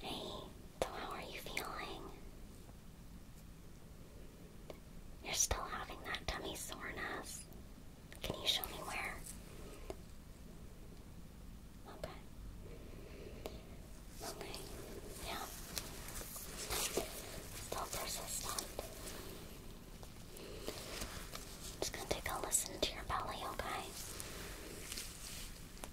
Hey, so how are you feeling? You're still having that tummy soreness. Can you show me where? Okay. Okay. Yeah. Still persistent. I'm just gonna take a listen to your belly, okay?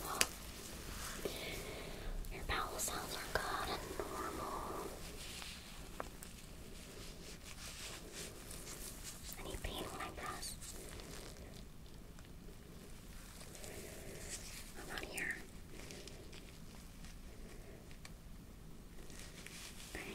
Well, your bowel sounds are good and normal. Any pain when I I'm not here. Okay.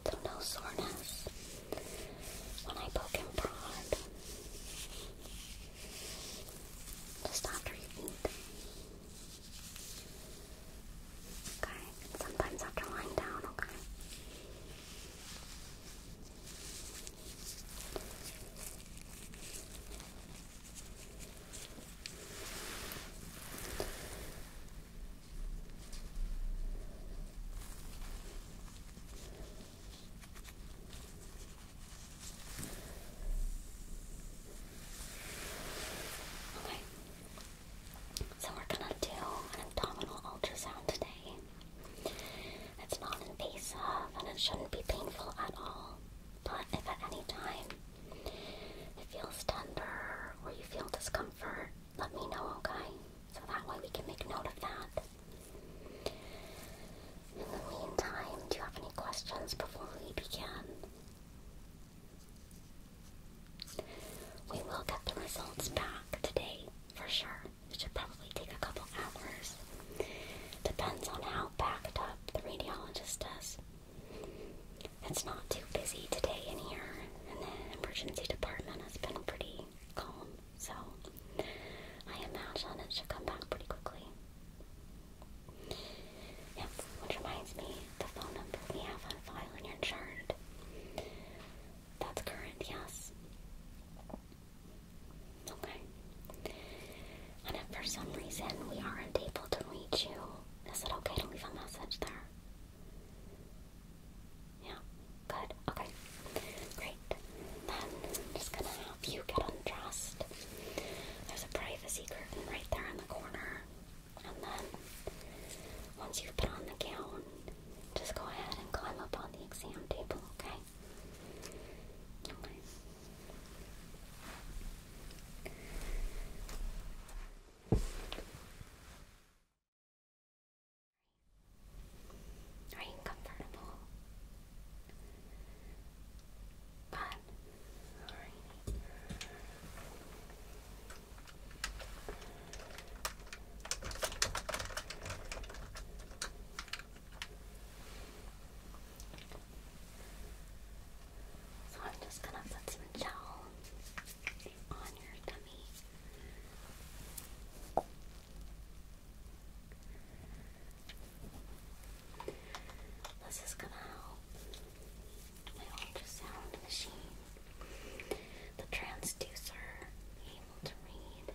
So no soreness when I poke and prod. Just after you eat. Okay, sometimes after lying down, Okay. Okay. So we're gonna do an abdominal ultrasound today. It's non-invasive and it shouldn't be painful at all. But if at any time it feels tender or you feel discomfort, let me know, okay? So that way we can make note of that. In the meantime, do you have any questions before we begin? We will get the results back today for sure. It should probably take a couple hours. Depends on how backed up the radiologist is. It's not too busy today in here, and the emergency department has been pretty calm, so I imagine it should come back pretty quickly. Yep, which reminds me, the phone number we have on file in your chart. That's current, yes. Okay. And if for some reason we aren't able to reach you, is it okay to leave a message there? Yeah, good. Okay, great. Then I'm just gonna help you get undressed. There's a privacy curtain right there in the corner. And then once you've put on the gown, just go ahead and climb up on the exam table, okay? Okay. Are you comfortable? So I'm just gonna put some gel on your tummy. This is gonna help my ultrasound machine, the transducer, able to read.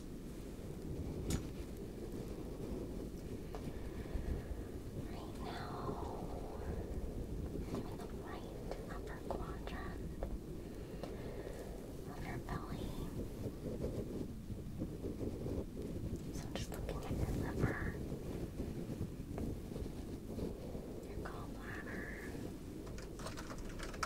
Right now, in the right upper quadrant of your belly. So I'm just looking at your liver, your gallbladder,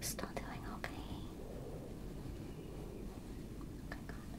Still doing okay. Okay, Okay.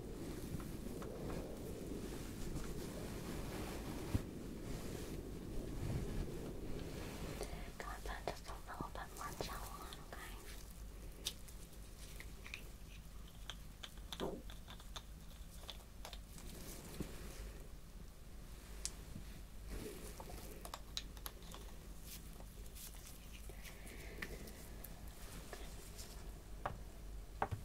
Can we just a little bit more gel on, Okay.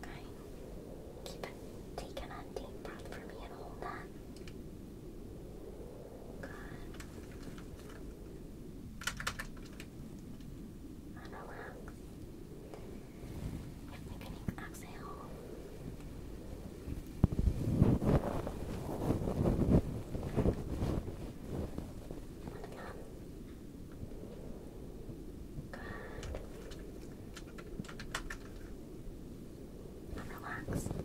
Okay. Keep it. Take an deep breath for me and hold that. Good. And relax. exhale. Good. Now relax. Good.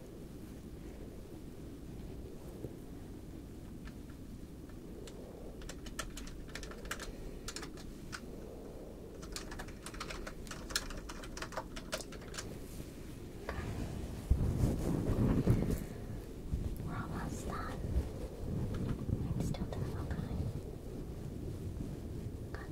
We're almost done. I'm still doing okay. Good.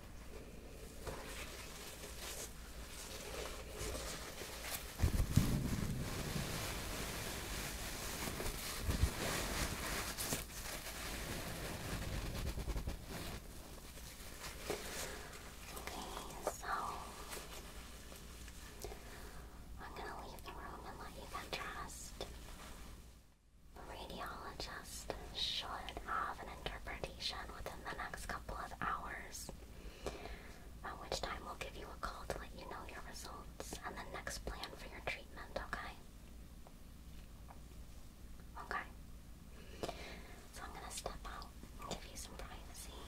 Okay, so I'm gonna leave the room and let you get dressed. Radiologist should have an interpretation within the next couple of hours, at which time we'll give you a call to let you know your results and the next plan for your treatment, okay? Okay. So I'm gonna step out and give you some privacy.